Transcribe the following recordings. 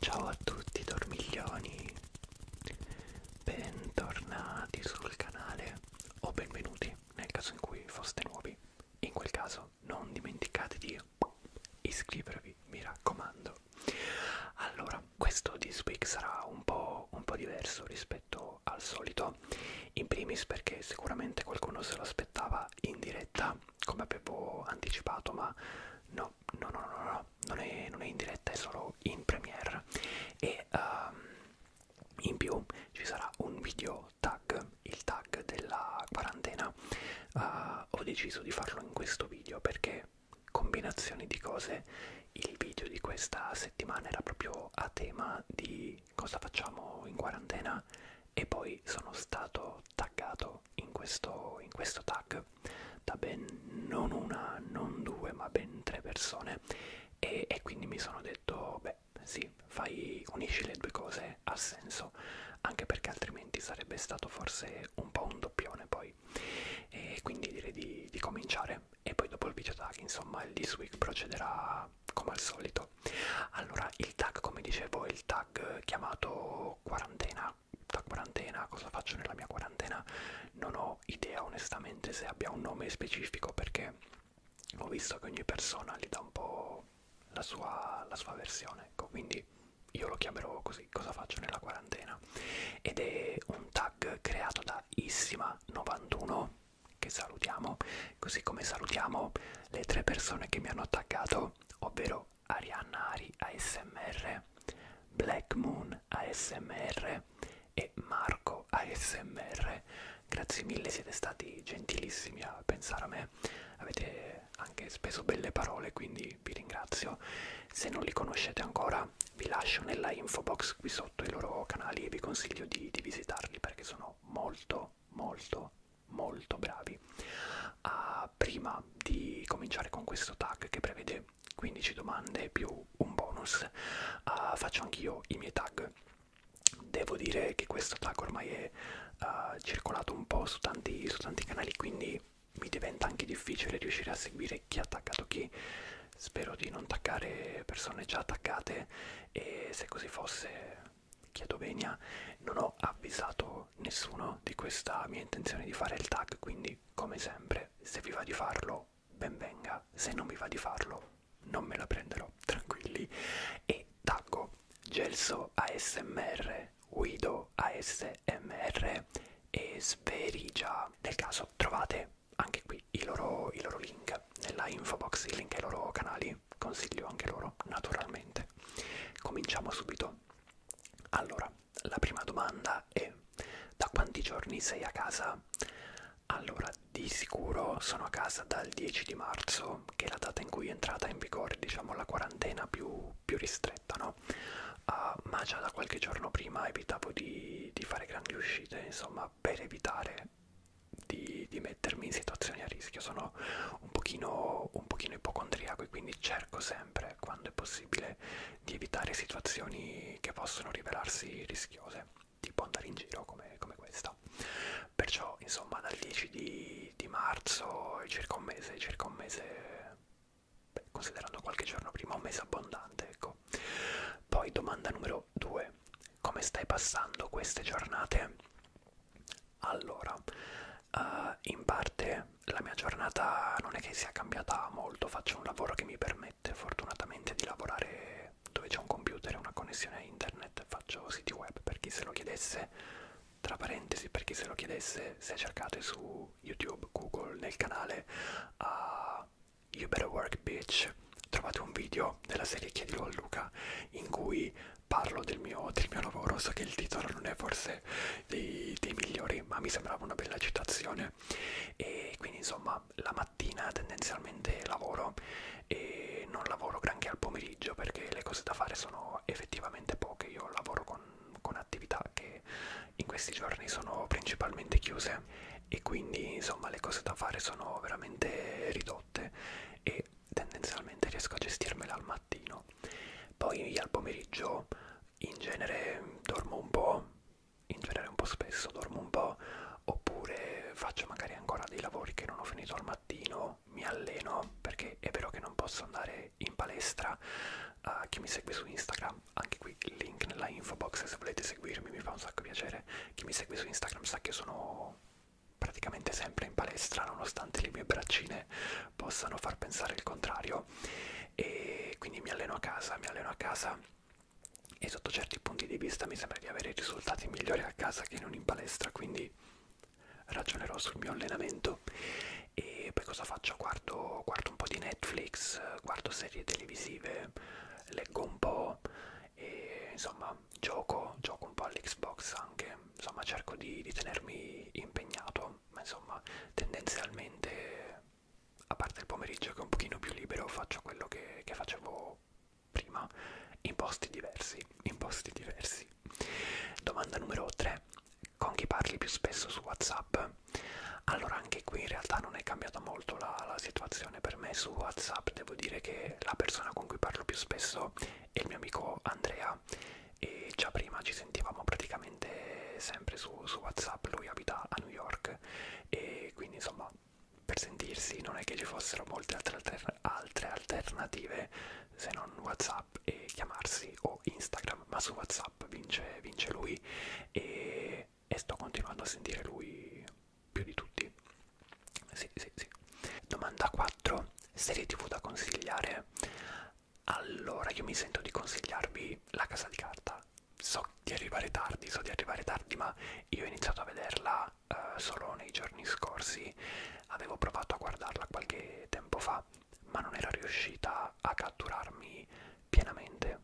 Ciao a tutti dormiglioni, bentornati sul canale o benvenuti nel caso in cui foste nuovi. In quel caso non dimenticate di iscrivervi, mi raccomando. Allora, questo This Week sarà un po', un po diverso rispetto rispetto al solito, in primis perché sicuramente qualcuno se lo aspettava in diretta, come avevo anticipato, ma no, no, no, no, no non, è, non è in diretta, è solo in premiere. E um, in più ci sarà un video tag, il tag della quarantena. Uh, ho deciso di farlo in questo video perché combinazioni di cose il video di questa settimana era proprio a tema di cosa facciamo in quarantena e poi sono stato taggato in questo, in questo tag da ben non una, non due, ma ben tre persone e, e quindi mi sono detto, beh sì, fai, unisci le due cose, ha senso, anche perché altrimenti sarebbe stato forse un po' un doppione poi. E quindi direi di, di cominciare e poi dopo il video tag insomma il this week procederà come al solito allora il tag come dicevo è il tag chiamato quarantena tag quarantena cosa faccio nella mia quarantena non ho idea onestamente se abbia un nome specifico perché ho visto che ogni persona gli dà un po' la sua, la sua versione ecco quindi io lo chiamerò così cosa faccio nella quarantena ed è un tag creato da Issima91 che salutiamo, così come salutiamo le tre persone che mi hanno attaccato, ovvero Arianna Ari ASMR, Black Moon ASMR e Marco ASMR. Grazie mille, siete stati gentilissimi a pensare a me, avete anche speso belle parole, quindi vi ringrazio. Se non li conoscete ancora, vi lascio nella info box box qui sotto i loro canali e vi consiglio di, di visitarli perché sono molto molto molto bravi uh, prima di cominciare con questo tag che prevede 15 domande più un bonus uh, faccio anch'io i miei tag devo dire che questo tag ormai è uh, circolato un po' su tanti, su tanti canali quindi mi diventa anche difficile riuscire a seguire chi ha attaccato chi spero di non taccare persone già attaccate e se così fosse chiedo venia non ho avvisato nessuno di questa mia intenzione di fare il tag quindi come sempre se vi va di farlo ben venga se non vi va di farlo non me la prenderò tranquilli e taggo gelso asmr guido asmr e sverigia nel caso trovate e anche qui i loro, i loro link nella info box, i link ai loro canali, consiglio anche loro naturalmente. Cominciamo subito. Allora, la prima domanda è da quanti giorni sei a casa? Allora, di sicuro sono a casa dal 10 di marzo, che è la data in cui è entrata in vigore, diciamo, la quarantena più, più ristretta, no? Uh, ma già da qualche giorno prima evitavo di, di fare grandi uscite, insomma, ma per evitare di, di mettermi in situazioni a rischio sono un pochino, un pochino ipocondriaco e quindi cerco sempre, quando è possibile, di evitare situazioni che possono rivelarsi rischiose, tipo andare in giro come, come questa. Perciò, insomma, dal 10 di, di marzo, circa un mese, circa un mese, beh, considerando qualche giorno prima, un mese abbondante, ecco. Poi domanda numero Matteo 2. Come stai passando queste giornate? Allora, uh, in parte la mia giornata non è che sia cambiata molto, faccio un lavoro che mi permette fortunatamente di lavorare dove c'è un computer e una connessione a internet, faccio siti web per chi se lo chiedesse, tra parentesi per chi se lo chiedesse, se cercate su YouTube, Google, nel canale, uh, You Better Work Bitch trovate un video della serie Chiedilo a Luca in cui parlo del mio, del mio lavoro, so che il titolo non è forse dei, dei migliori ma mi sembrava una bella citazione e quindi insomma la mattina tendenzialmente lavoro e non lavoro granché al pomeriggio perché le cose da fare sono effettivamente poche, io lavoro con, con attività che in questi giorni sono principalmente chiuse c'è e quindi insomma le cose da fare sono veramente ridotte e tendenzialmente riesco a gestirmela al mattino poi al pomeriggio in genere dormo un po' in genere un po' spesso dormo un po' oppure faccio magari ancora dei lavori che non ho finito al mattino mi alleno perché è vero che non posso andare in palestra a uh, chi mi segue su Instagram anche qui link nella info box se volete seguirmi, mi fa un sacco piacere. Chi mi segue su Instagram sa che sono praticamente sempre in palestra, nonostante le mie braccine possano far pensare il contrario. E quindi mi alleno a casa, mi alleno a casa e sotto certi punti di vista mi sembra di avere risultati migliori a casa che non in palestra, quindi ragionerò sul mio allenamento e poi cosa faccio? Guardo, guardo un po' di Netflix, guardo serie televisive, leggo un po' e insomma gioco, gioco un po' all'Xbox anche, insomma cerco di, di tenermi impegnato, ma insomma tendenzialmente a parte il pomeriggio che è un pochino più libero faccio quello che, che facevo prima in posti diversi, in posti diversi. Domanda numero 3. Con chi parli più spesso su WhatsApp? Allora anche qui in realtà non è cambiata molto la, la situazione relazione per me su WhatsApp, devo dire che la persona con cui parlo più spesso è il mio amico Andrea e già prima ci sentivamo praticamente sempre su, su WhatsApp, lui abita a New York e quindi insomma per sentirsi non è che ci fossero molte altre, alter altre alternative se non WhatsApp e chiamarsi o Instagram, ma su WhatsApp vince, vince lui e, e sto continuando a sentire lui più di tutti. Sì, sì, sì. Domanda 4. Serie tv da consigliare? Allora, io mi sento di consigliarvi La Casa di Carta. So di arrivare tardi, so di arrivare tardi, ma io ho iniziato a vederla uh, solo nei giorni scorsi. Avevo provato a guardarla qualche tempo fa, ma non era riuscita a catturarmi pienamente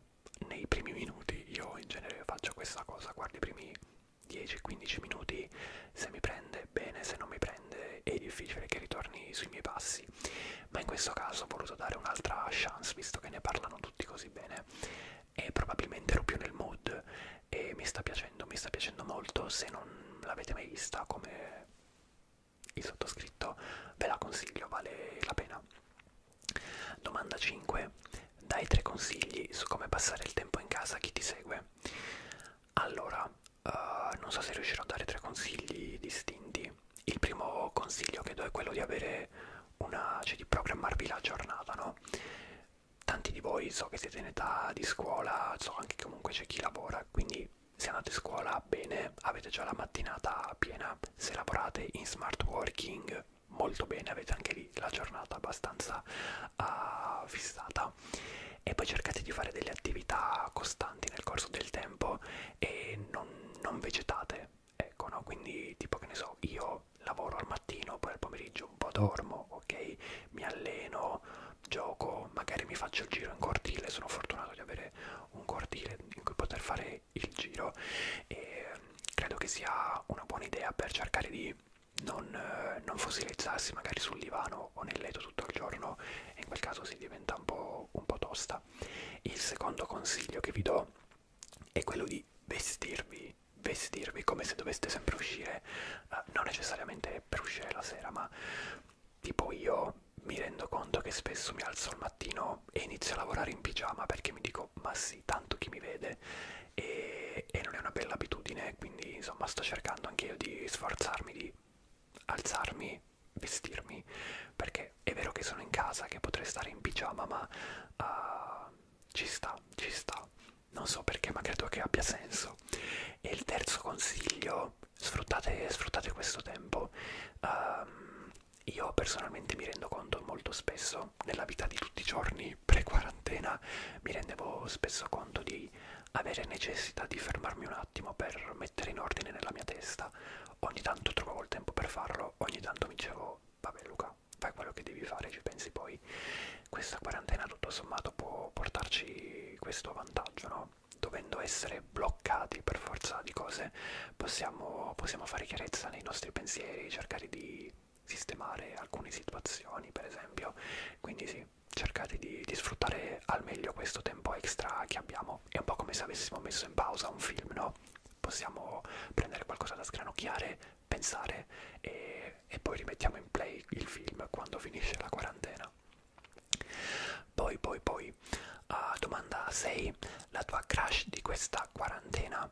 nei primi minuti. Io in genere faccio questa cosa, guardo i primi 10-15 minuti, se mi prende bene, se non mi prende è difficile che ritorni sui miei passi, ma in questo caso ho voluto dare un'altra chance visto che ne parlano tutti così bene e probabilmente ero più nel mood e mi sta piacendo, mi sta piacendo molto, se non l'avete mai vista come il sottoscritto ve la consiglio, vale la pena. Domanda 5 dai tre consigli su come passare il tempo in casa a chi ti segue. Allora, uh, non so se riuscirò a dare tre consigli distinti. Il primo consiglio che do è quello di avere una, cioè di programmarvi la giornata, no? Tanti di voi so che siete in età di scuola, so anche che comunque c'è chi lavora, quindi se andate a scuola bene, avete già la mattinata piena, se lavorate in smart working molto bene, avete anche lì la giornata abbastanza uh, fissata e poi cercate di fare delle attività costanti nel corso del tempo e non, non vegetate, ecco, no? Quindi tipo che ne so, io lavoro al mattino, poi al pomeriggio un po' dormo, ok? Mi alleno, gioco, magari mi faccio il giro in cortile, sono fortunato di avere un cortile in cui poter fare il giro e credo che sia una buona idea per cercare di non, eh, non fossilizzarsi magari sul divano o nel letto tutto il giorno e in quel caso si diventa un po', un po' tosta. Il secondo consiglio che vi do è quello di vestirvi, vestirvi come se doveste sempre uscire, eh, non necessariamente per uscire la sera, ma tipo io mi rendo conto che spesso mi alzo al mattino e inizio a lavorare in pigiama perché mi dico ma sì, tanto chi mi vede e, e non è una bella abitudine, quindi insomma sto cercando anche io di sforzarmi di alzarmi, vestirmi, perché è vero che sono in casa, che potrei stare in pigiama, ma uh, ci sta, ci sta. Non so perché, ma credo che abbia senso. E il terzo consiglio, sfruttate, sfruttate questo tempo. Um, io personalmente mi rendo conto molto spesso io nella vita di tutti i giorni pre-quarantena mi rendevo spesso conto di avere necessità di fermarmi un attimo per mettere in ordine nella mia testa. Ogni tanto trovavo il tempo per farlo, ogni tanto mi dicevo vabbè Luca, fai quello che devi fare, ci pensi poi. Questa quarantena tutto sommato può portarci questo vantaggio, no? Dovendo essere bloccati per forza di cose, possiamo, possiamo fare chiarezza nei nostri pensieri, cercare di sistemare alcune situazioni per esempio quindi sì cercate di, di sfruttare al meglio questo tempo extra che abbiamo è un po' come se avessimo messo in pausa un film no possiamo prendere qualcosa da sgranocchiare pensare e, e poi rimettiamo in play il film quando finisce la quarantena poi poi poi uh, domanda 6 la tua crush di questa quarantena quarantena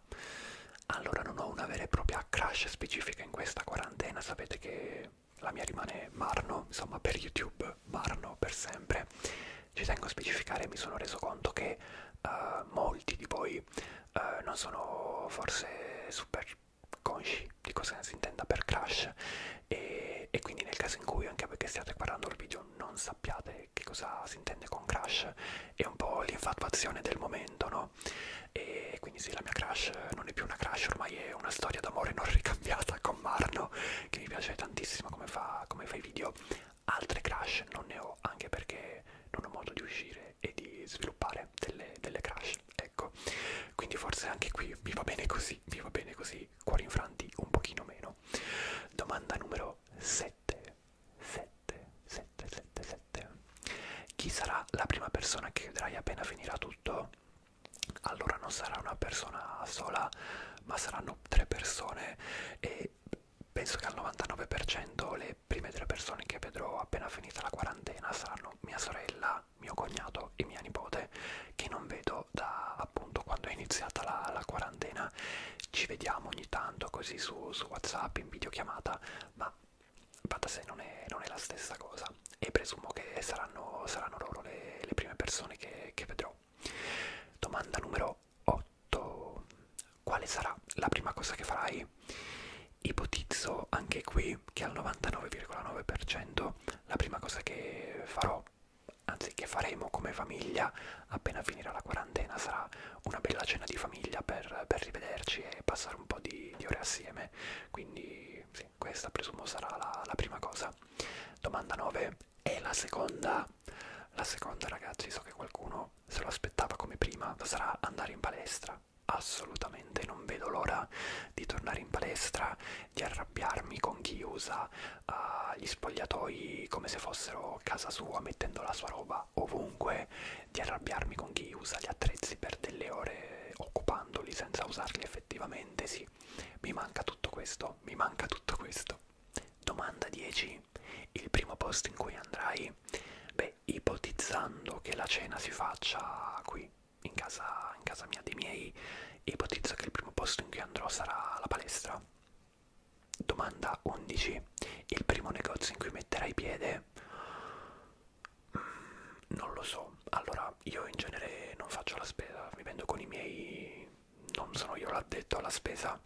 allora non ho una vera e propria crash specifica in questa quarantena sapete che la mia rimane Marno insomma per YouTube Marno per sempre ci tengo a specificare mi sono reso conto che uh, molti di voi uh, non sono forse super consci di cosa si intenda per crash e, e quindi nel caso in cui anche perché stiate guardando il video non sappiate che cosa si intende con crash è un po' l'infatuazione del momento no? no? E quindi sì, la mia crush non è più una crush, ormai è una storia d'amore non ricambiata con Marno, che mi piace tantissimo come fa, come fa i video. Altre crush non ne ho, anche perché non ho modo di uscire e di sviluppare delle, delle crush, ecco. Quindi forse anche qui mi va bene così, mi va bene così, cuori infranti un pochino meno. Domanda numero 7. 7. 777. Chi sarà la prima persona che chiuderai appena finirà tutto? Allora non sarà una persona sola, ma saranno tre persone e penso che al 99% le prime tre persone che vedrò appena finita la quarantena saranno mia sorella, mio cognato e mia nipote che non vedo da appunto quando è iniziata la, la quarantena. Ci vediamo ogni tanto così su, su WhatsApp in videochiamata, ma va da sé non è, non è la stessa cosa e presumo che saranno, saranno loro le, le prime persone che, che vedrò. Domanda numero 8. Quale sarà la prima cosa che farai? Ipotizzo anche qui che al 99,9% la prima cosa che farò, anzi che faremo come famiglia appena finirà la quarantena, sarà una bella cena di famiglia per, per rivederci e passare passare un po' di, di ore assieme, quindi sì, questa presumo sarà la, la prima cosa. Domanda 9 e la seconda, la seconda ragazzi, so che qualcuno se lo aspettava come prima, sarà andare in palestra. Assolutamente non vedo l'ora di tornare in palestra, di arrabbiarmi con chi usa uh, gli spogliatoi come se fossero casa sua mettendo la sua roba va ovunque, di arrabbiarmi con chi usa gli attrezzi per delle ore occupandoli senza usarli effettivamente, sì, mi manca tutto questo, mi manca tutto questo. Domanda 10. Il primo posto in cui andrai? Beh, ipotizzando che la cena si faccia qui, in casa, in casa mia dei miei, ipotizzo che il primo posto in cui andrò sarà la palestra. Domanda 11. Il primo negozio in cui metterai piede? non lo so allora io in genere non faccio la spesa vivendo con i miei non sono io l'addetto alla spesa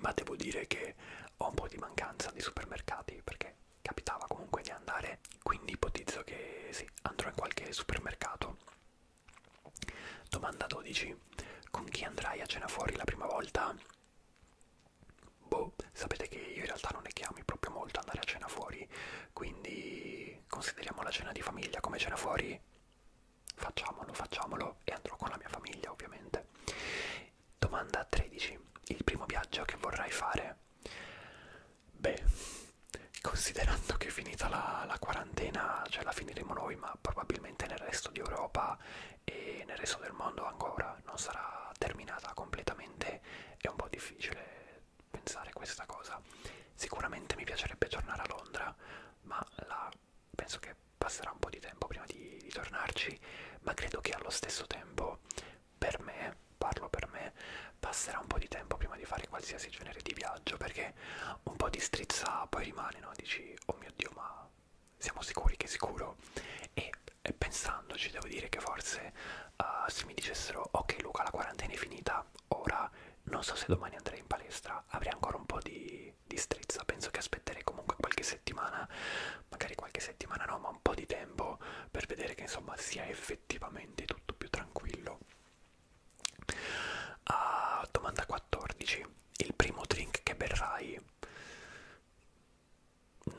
ma devo dire che ho un po' di mancanza di supermercati perché capitava comunque di andare quindi ipotizzo che sì andrò in qualche supermercato domanda 12 con chi andrai a cena fuori la prima volta Boh, sapete che io in realtà non ne chiami proprio molto andare a cena fuori, quindi consideriamo la cena di famiglia come cena fuori. Facciamolo, facciamolo e andrò con la mia famiglia ovviamente. Domanda 13. Il primo viaggio che vorrai fare? Beh, considerando che è finita la, la quarantena, cioè la finiremo noi, ma probabilmente nel resto di Europa e nel resto del mondo ancora non sarà terminata completamente è un po' difficile pensare questa cosa. Sicuramente mi piacerebbe tornare a Londra, ma la, penso che passerà un po' di tempo prima di, di tornarci, ma credo che allo stesso tempo per me, parlo per me, passerà un po' di tempo prima di fare qualsiasi genere di viaggio, perché un po' di strizza poi rimane, no? Dici, oh mio Dio, ma siamo sicuri che è sicuro? E e pensandoci devo dire che forse uh, se mi dicessero ok Luca la quarantena è finita, ora non so se domani andrei in palestra, avrei ancora un po' di, di strizza, penso che aspetterei comunque qualche settimana, magari qualche settimana no, ma un po' di tempo per vedere che insomma sia effettivamente tutto più tranquillo. Uh, domanda 14. Il primo drink che berrai?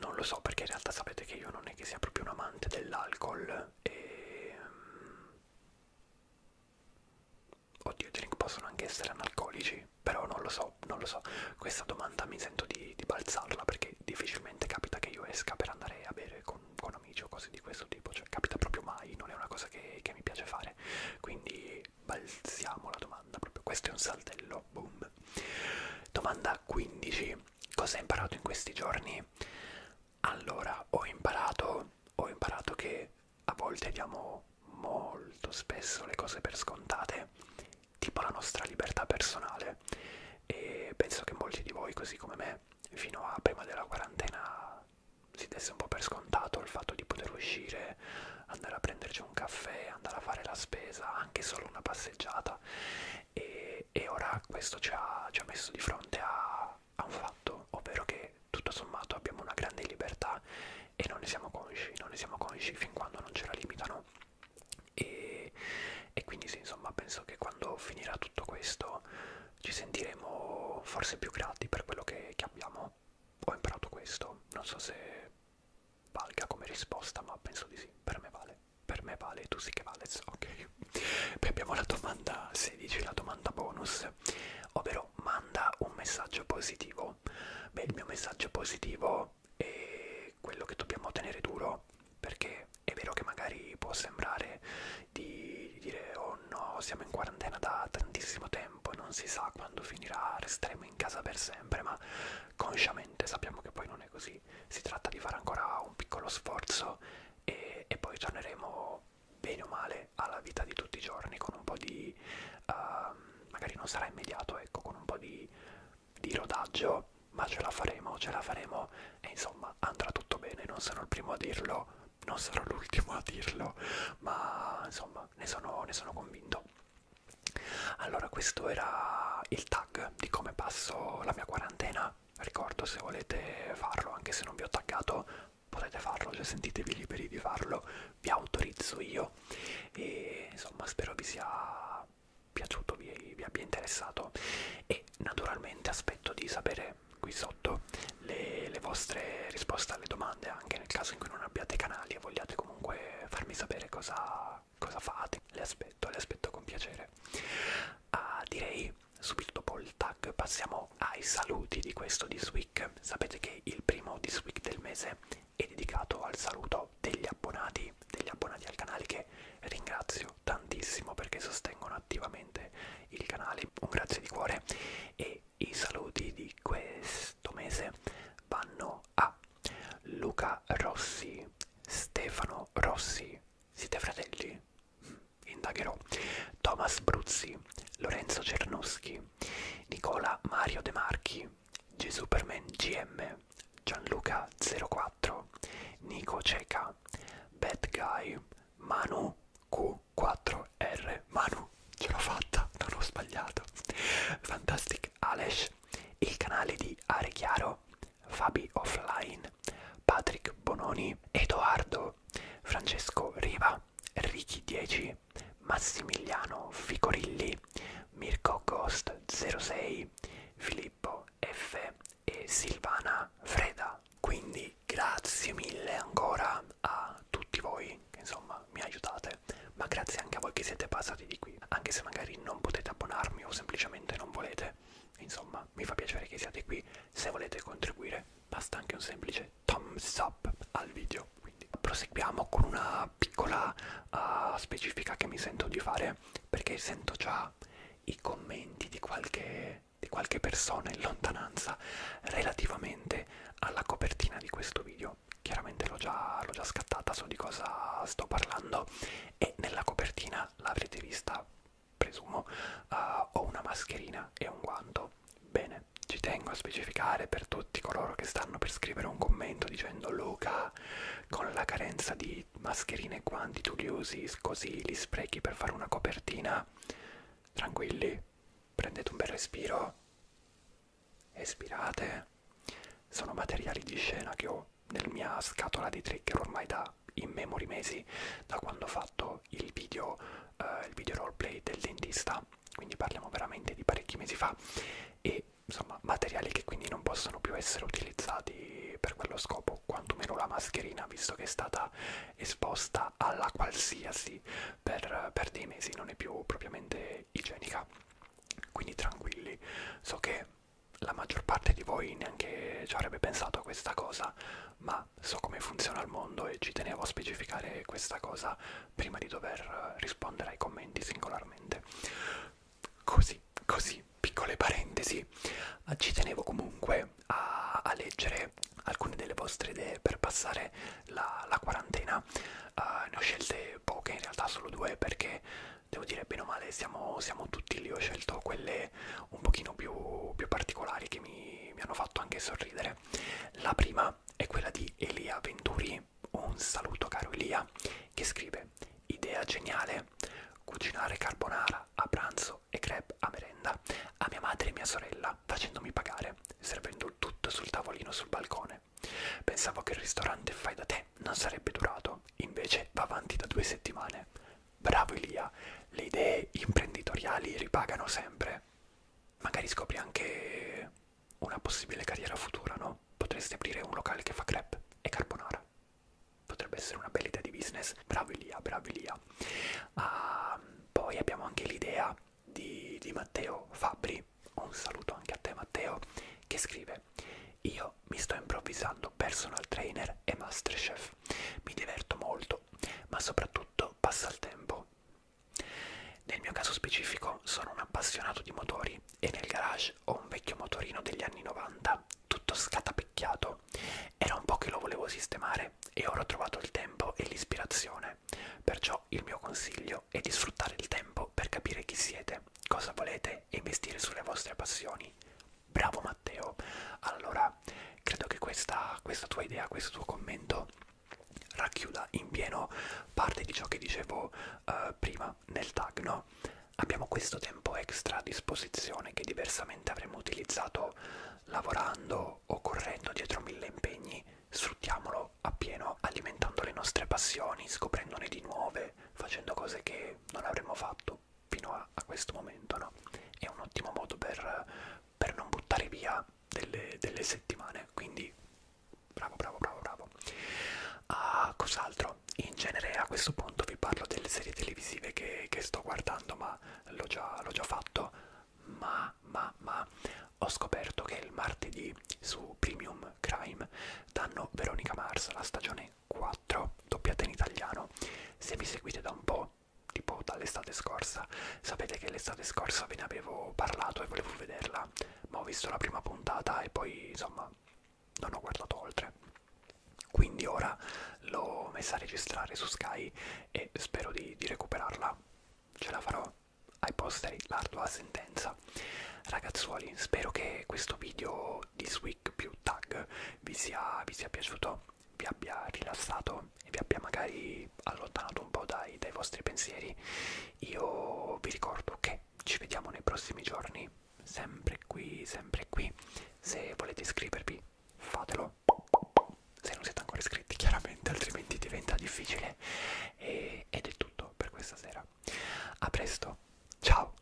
non lo so perché in realtà sapete che io non è che sia proprio un amante dell'alcol e... Mm, oddio, i drink possono anche essere analcolici, però non lo so, non lo so. Questa domanda mi sento di, di balzarla perché difficilmente capita che io esca per andare a bere con, con amici o cose di questo tipo, cioè capita proprio mai, non è una cosa che, che mi piace fare. Quindi balziamo la domanda, proprio questo è un saltello, boom. Domanda 15 cosa ho imparato in questi giorni? Allora, ho imparato, ho imparato che a volte diamo molto spesso le cose per scontate, tipo la nostra libertà personale. E penso che molti di voi, così come me, fino a prima della quarantena si desse un po' per scontato il fatto di poter uscire, andare a prenderci un caffè, andare a fare la spesa, anche solo una passeggiata e, e ora questo ci ha, ci ha messo di fronte a, a un fatto, ovvero che tutto sommato abbiamo una grande libertà e non ne siamo consci, non ne siamo consci fin quando non ce la limitano e, e quindi sì, insomma penso che quando finirà tutto questo ci sentiremo forse più grati per quello che, che abbiamo ho imparato questo non so se valga come risposta ma penso di sì per me vale Beh, per me vale, tu sì che vales, ok. Poi abbiamo la domanda 16, la domanda bonus, ovvero manda un messaggio positivo. Beh, il mio messaggio positivo è quello che dobbiamo tenere duro, perché è vero che magari può sembrare di dire oh no, siamo in quarantena da tantissimo tempo, non si sa quando finirà, resteremo in casa per sempre, ma consciamente sappiamo che poi non è così, quindi si tratta di fare ancora un piccolo sforzo e, e poi torneremo bene o male alla vita di tutti i giorni con un po' di uh, magari non sarà immediato ecco con un po' di, di rodaggio ma ce la faremo ce la faremo e insomma andrà tutto bene non sono il primo a dirlo non sarò l'ultimo a dirlo ma insomma ne sono, ne sono convinto allora questo era il tag di come passo la mia quarantena ricordo se volete farlo anche se non vi ho taggato potete farlo cioè sentitevi liberi di farlo vi autorizzo io e insomma spero vi sia piaciuto vi, vi abbia interessato e naturalmente aspetto di sapere qui sotto le, le vostre risposte alle domande anche nel caso in cui non abbiate canali e vogliate comunque farmi sapere cosa cosa, cosa fate, le aspetto, le aspetto con piacere. Uh, direi subito dopo il tag passiamo ai saluti di questo This Week. Sapete che il primo This Week del mese è dedicato al saluto degli abbonati, degli abbonati al canale che ringrazio tantissimo perché sostengono attivamente il canale. Un grazie di cuore e i saluti di questo mese vanno a Luca Rossi, Stefano Rossi, siete fratelli? Indagherò. Thomas Bruzzi, Lorenzo Cernuschi, Nicola Mario De Marchi, Gesuperman GM, Gianluca04, Nico Ceca, Bad Guy, Manu Q4R. Manu, ce l'ho fatta, non ho sbagliato. Fantastic Alesh, il canale di Arechiaro, Fabi Offline, Patrick Bononi, Edoardo, Francesco Riva, Ricky 10, Massimiliano Ficorilli, Mirko Ghost 06, Filippo F e Silvana Freda. Quindi grazie mille ancora a tutti voi che insomma mi aiutate, ma grazie anche a voi che siete passati di qui, anche se magari non potete abbonarmi o semplicemente non volete. Insomma, mi fa piacere che siate qui. Se volete contribuire, basta anche un semplice thumbs up al video. Quindi proseguiamo con una piccola uh, specifica che mi sento di fare, perché sento già i commenti di qualche, di qualche persona in lontananza relativamente alla copertina di questo video. Chiaramente l'ho già, già scattata, so di cosa sto parlando e nella copertina l'avrete vista, presumo, uh, ho una mascherina e un guanto. Bene, ci tengo a specificare per tutti coloro che stanno per scrivere un commento dicendo Luca, con la carenza di mascherine e guanti tu li usi così, li sprechi per fare una copertina. Tranquilli, prendete un bel respiro, espirate. Sono materiali di scena che ho nella mia scatola di trigger ormai da in memory mesi da quando ho fatto il video, eh, il video roleplay del dentista, quindi parliamo veramente di parecchi mesi fa e insomma materiali che quindi non possono più essere utilizzati per quello scopo, quantomeno la mascherina visto che è stata esposta alla qualsiasi per, per dei mesi, non è più propriamente igienica. Quindi tranquilli, so che la maggior parte di voi neanche ci avrebbe pensato a questa cosa, ma so come funziona il mondo e ci tenevo a specificare questa cosa prima di dover rispondere ai commenti singolarmente. Così, così, piccole parentesi, ci tenevo comunque a, a leggere alcune delle vostre idee per passare la, la quarantena. Uh, ne ho scelte poche, in realtà solo due, perché devo dire bene o male siamo, siamo tutti lì ho scelto quelle un pochino più, più particolari che mi, mi hanno fatto anche sorridere la prima è quella di Elia Venturi un saluto caro Elia che scrive idea geniale cucinare carbonara a pranzo e crepe a merenda a mia madre e mia sorella facendomi pagare servendo il tutto sul tavolino sul balcone pensavo che il ristorante fai da te non sarebbe durato invece va avanti da due settimane Bravo Elia, le idee imprenditoriali ripagano sempre. Magari scopri anche una possibile carriera futura, no? Potresti aprire un locale che fa crepe e carbonara. Potrebbe essere una bella idea di business. Bravo Elia, bravo Elia. Ah, poi abbiamo anche l'idea di, di Matteo Fabri. Un saluto anche a te Matteo, che scrive due. Io mi sto improvvisando personal trainer e masterchef. Mi diverto molto, ma soprattutto passa il tempo. Nel mio caso specifico sono un appassionato di motori e nel garage ho un vecchio motorino degli anni 90, tutto scatapecchiato. Era un po' che lo volevo sistemare e ora ho trovato il tempo e l'ispirazione. Perciò il mio consiglio è di sfruttare il tempo per capire chi siete, cosa volete e investire sulle vostre passioni. Bravo Matteo. Allora, credo che questa, questa tua idea, questo tuo commento racchiuda in pieno parte di ciò che dicevo uh, prima nel tag, no? Abbiamo questo tempo extra a disposizione che diversamente avremmo utilizzato lavorando o correndo dietro mille impegni, sfruttiamolo appieno, alimentando le nostre passioni, scoprendone di nuove, facendo cose che non avremmo fatto fatto fino a, a questo momento, no? È un ottimo modo per, per non buttare via delle, delle settimane, quindi bravo, bravo, bravo, bravo. Ah, cos'altro? In genere a questo punto vi parlo delle serie televisive che, che sto guardando, ma l'ho già, già fatto, ma, ma, ma ho scoperto che il martedì su Premium Crime danno Veronica Mars, la stagione 4 doppiata in italiano. Se mi seguite da un po', tipo dall'estate scorsa, sapete che l'estate scorsa ve ne avevo parlato e volevo vederla, ma ho visto la prima puntata e poi insomma non ho guardato oltre. Quindi ora l'ho messa a registrare su Sky e spero di, di recuperarla. Ce la farò ai posteri l'ardua sentenza. Ragazzuoli, spero che questo video di Sweek più Tag vi sia, vi sia piaciuto, vi abbia rilassato e vi abbia magari allontanato un po' dai, dai vostri pensieri. Io vi ricordo che ci vediamo nei prossimi giorni, sempre qui, sempre qui. Se volete iscrivervi, fatelo. Se non siete ancora iscritti, chiaramente, altrimenti diventa difficile. E, ed è tutto per questa sera. A presto, ciao!